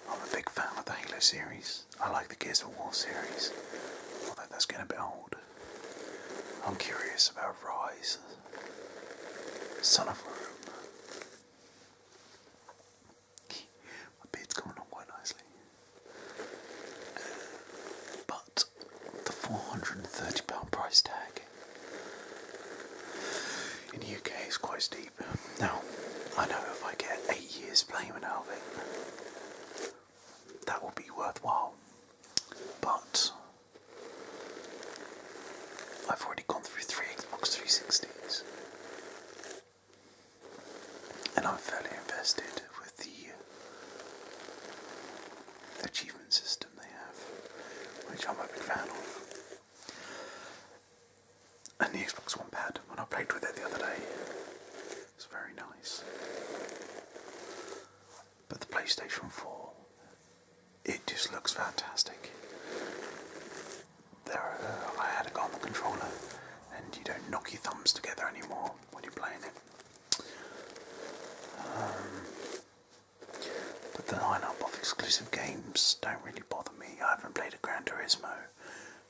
I'm a big fan of the Halo series. I like the Gears of War series, although that's getting a bit old. I'm curious about Rise, Son of Rome. My beard's coming on quite nicely. But the £430 price tag in the UK is quite steep. Now, I know if I get eight years playing out of that will be worthwhile. But I've already gone through three Xbox 360s, and I'm fairly invested with the achievement system they have, which I'm a big fan of and the Xbox One pad when I played with it the other day. It's very nice. But the PlayStation 4, it just looks fantastic. There, are, I had a go controller, and you don't knock your thumbs together anymore when you're playing it. Um, but the lineup of exclusive games don't really bother me. I haven't played a Gran Turismo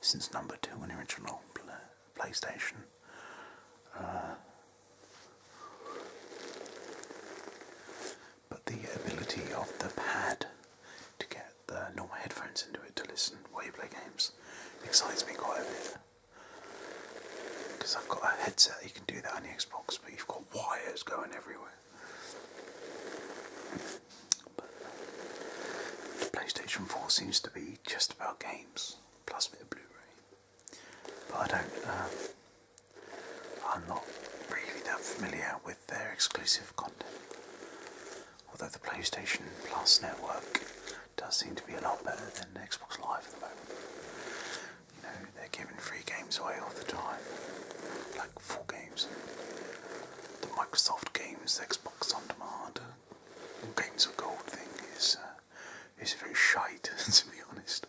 since number two on the original PlayStation. Uh, but the ability of the pad to get the normal headphones into it to listen while you play games excites me quite a bit. Because I've got a headset, you can do that on the Xbox, but you've got wires going everywhere. PlayStation 4 seems to be just about games, plus a bit of Blu-ray. But I don't, um, I'm not really that familiar with their exclusive content. Although the PlayStation Plus network does seem to be a lot better than Xbox Live at the moment. You know, they're giving free games away all the time full games. The Microsoft Games, Xbox On Demand, uh, Games of Gold thing is uh, is very shite to be honest.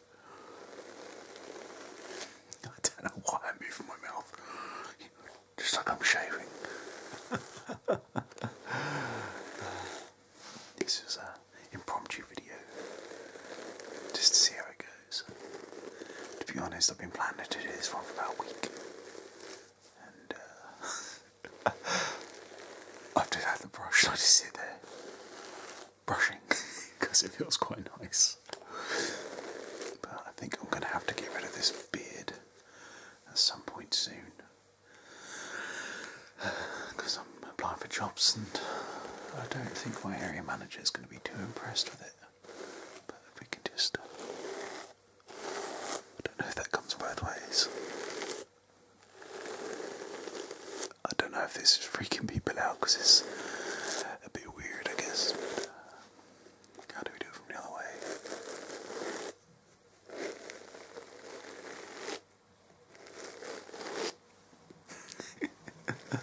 I don't know why I'm moving my mouth, just like I'm shaving. this is an impromptu video, just to see how it goes to be honest, I've been planning to do this for about a week. And uh, I've the brush and I just sit there brushing because it feels quite nice. But I think I'm going to have to get rid of this beard at some point soon because I'm applying for jobs and I don't think my area manager is going to be too impressed with it. But if we can do I don't know if that comes both ways. I don't know if this is freaking people out because it's a bit weird, I guess. how do we do it from the other way?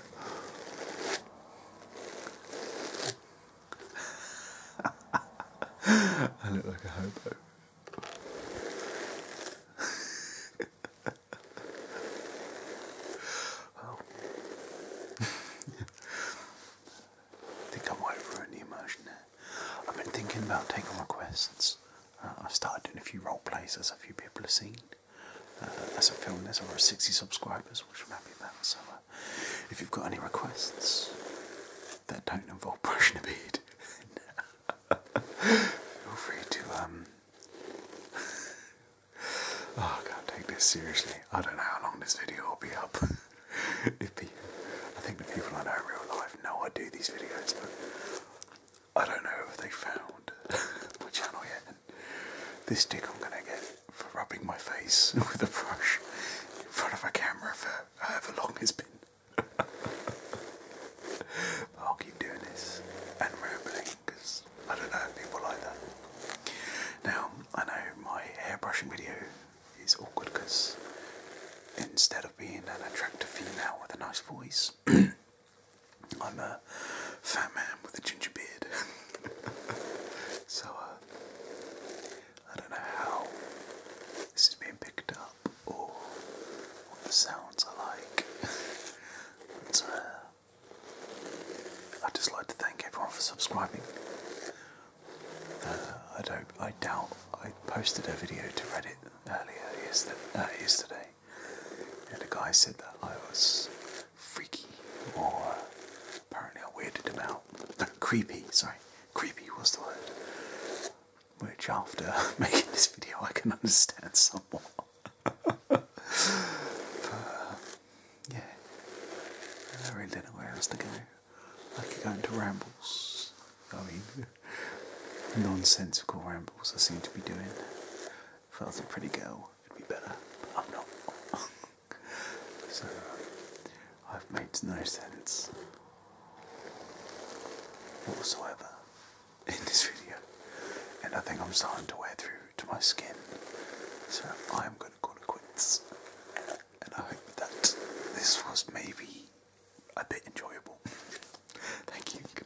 I look like a hobo. oh. I think I might have ruined the immersion there. I've been thinking about taking requests. Uh, I've started doing a few role plays as a few people have seen. Uh, as a film this, over 60 subscribers, that's I'm happy about. So, if you've got any requests that don't involve brushing a beard, feel free to. Um... Oh, I can't take this seriously. I don't know how long this video will be up. if I think the people I know in real life know I do these videos, but I don't know if they found my channel yet. this dick I'm gonna get for rubbing my face with a brush in front of a camera for however long it's been. but I'll keep doing this and rambling because I don't know people like that. Now I know my hair brushing video is awkward because instead of being an attractive female with a nice voice, I'm a fat man with a ginger beard. so uh, I don't know how this is being picked up or what the sounds are like. Uh, I'd just like to thank everyone for subscribing. Uh, I don't. I doubt I posted a video to Reddit earlier uh, yesterday. and a guy said that I was freaky or apparently I weirded him out. creepy. Sorry creepy was the word. Which, after making this video, I can understand somewhat. but, uh, yeah, I really don't know where else to go. I could go into rambles. I mean, nonsensical rambles I seem to be doing. If I was a pretty girl, it'd be better, but I'm not. So I've made no sense whatsoever in this video, and I think I'm starting to wear through to my skin. So I'm going to call it quits, and I hope that this was maybe a bit enjoyable. Thank you. Good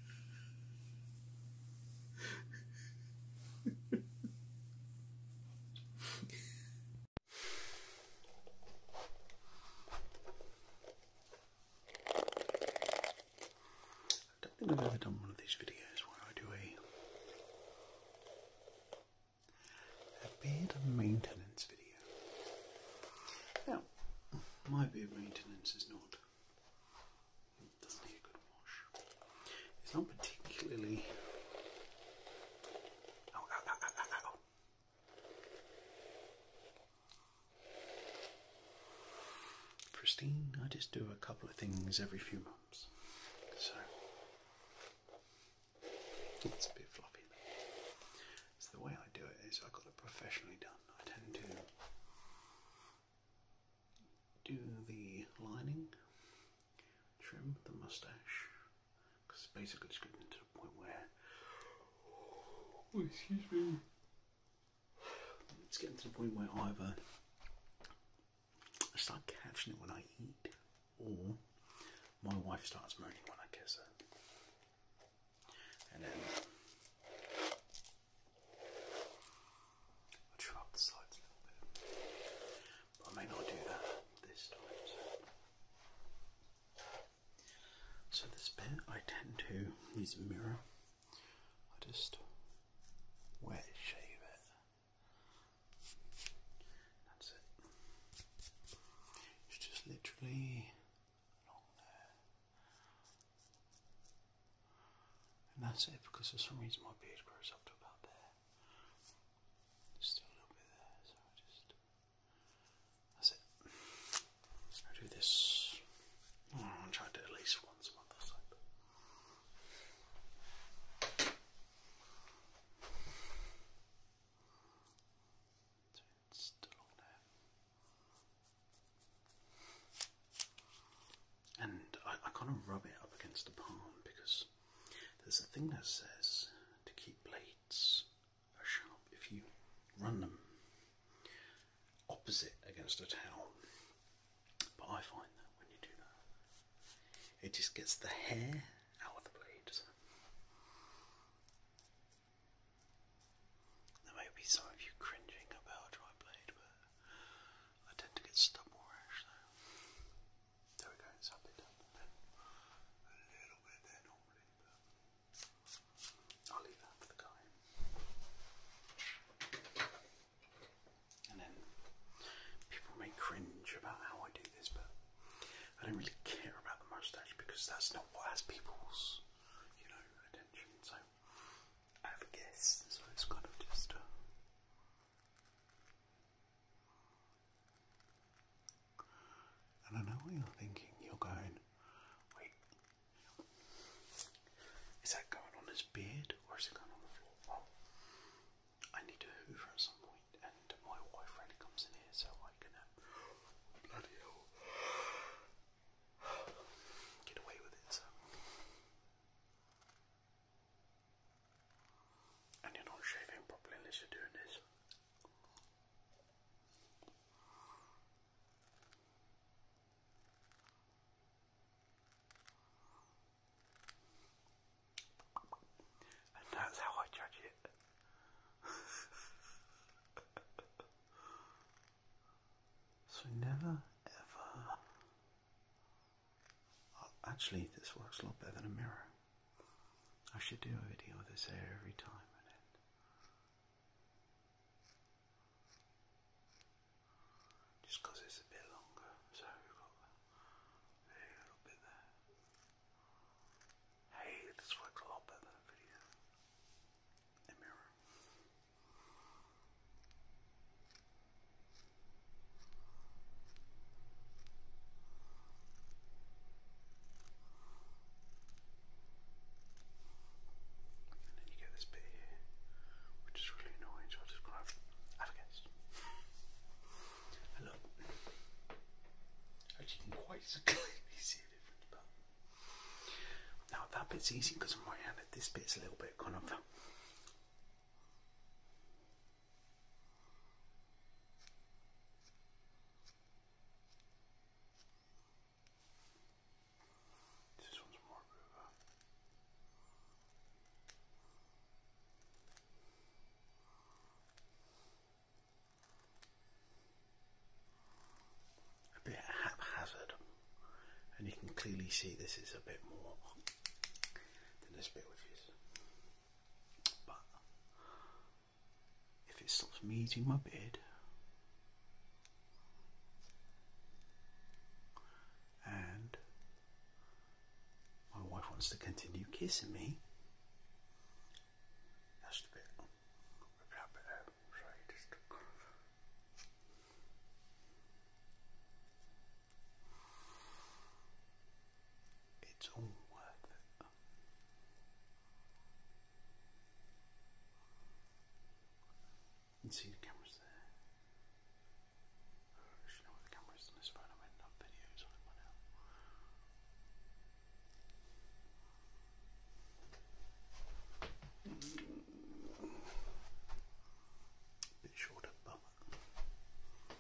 I don't think I've ever done one of these videos where I do a, a beard maintenance video. Now, my beard maintenance is not it doesn't need a good wash. It's not particularly. Pristine, oh, oh, oh, I just do a couple of things every few months. So it's a bit floppy. So the way I do it is I got it professionally done. I tend to do the lining, trim the mustache, because basically it's getting to the point where, oh, excuse me, it's getting to the point where either I start catching it when I eat, or my wife starts moaning when I kiss her, and then I'll shrug the sides a little bit. I may not do that this time. So, so this bit I tend to use a mirror. I just wet shave it. That's it. It's just literally along there. And that's it because for some reason my beard grows up to about there. Just a little bit there, so just that's it. I do this. Oh, I'll try to at least once month or still on there and I, kind of rub it up against the palm because there's a thing that says to keep blades uh, sharp if you run them opposite against a towel. But I find that when you do that, it just gets the hair out of the blades. There may be some of you cringing about a dry blade, but I tend to get stuck rash actually. There we go, it's down a bit. A little bit there normally, I'll leave that for the guy. And then people may cringe about how I do this, but I don't really care about the mustache because that's not what has people's, you know, attention. So I have a guess. So it's kind of just and I know you're thinking. You're going, wait, is that going on his beard or is it going on the floor? I need to hoover at some point, and my boyfriend comes in here, so I can uh, bloody hell get away with it. And you're not shaving properly unless you're doing this. And that's how I judge it. so never ever Actually, this works a lot better than a mirror. I should do a video of this every time. Just it's a bit longer, so we've got a little bit there. Hey, this works a lot better than A mirror. And then you get this bit here, which is really annoying, so I'll just grab have a guess. And actually you can quite clearly see the difference, now that bit's easy because I'm right handed, this bit's a little bit kind of this one's more river. Uh, a bit haphazard, and you can clearly see this is a bit more than this bit which is but if it stops me eating my bed, and my wife wants to continue kissing me that's the bit it's all worth it. You see the cameras there. should know what the camera on this phone. I might have videos on it now. Bit shorter, but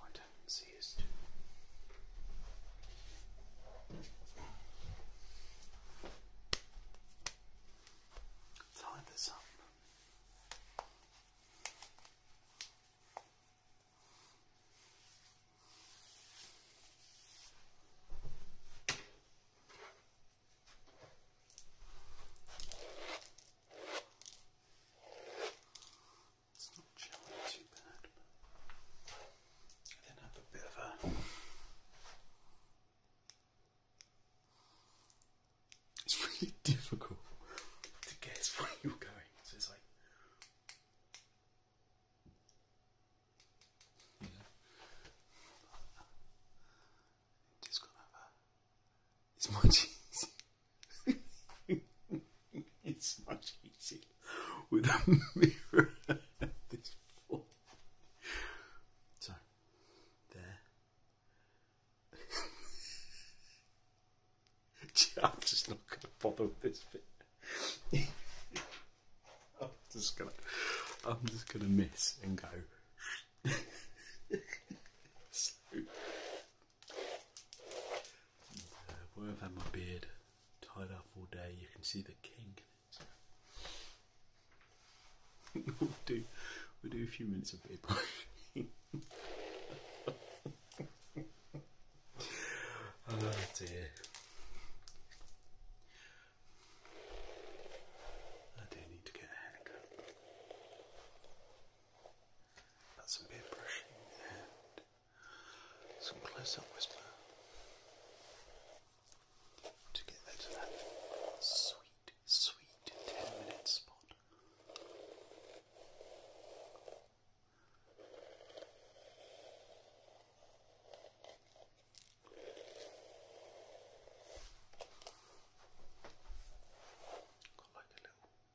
My tendency is to tie this up. It's not gelling too bad, but I then have a bit of a it's really difficult to guess where you're going. So it's like yeah. Just gonna It's much easier. it's much easier with a mirror this point. So, there. I'm just not gonna bother with this bit. I'm just gonna, I'm just gonna miss and go. Where I've had my beard tied up all day, you can see the kink. we'll do we do a few minutes of beard oh dear. I do need to get a haircut. That's some beard brushing and some close-up whisper to get there to that sweet, sweet 10-minute spot. Got like little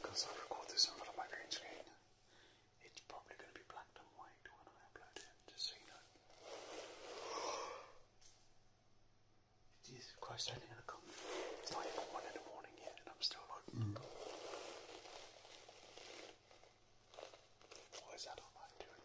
Because I record this in front of my screen, it's probably going to be blacked and white when I upload it, just so you know. Jesus Christ, only going It's not even one in the morning yet, and I'm still like, mm. What is that I'm doing?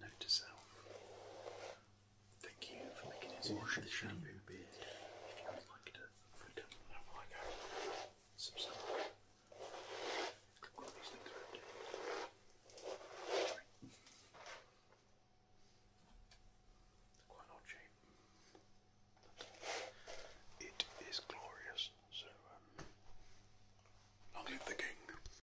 Note to self. Thank you for making it wash the shampoo beard. If you would like to put it like a subside. Quite odd shape. It is glorious, so um, I'll leave the king.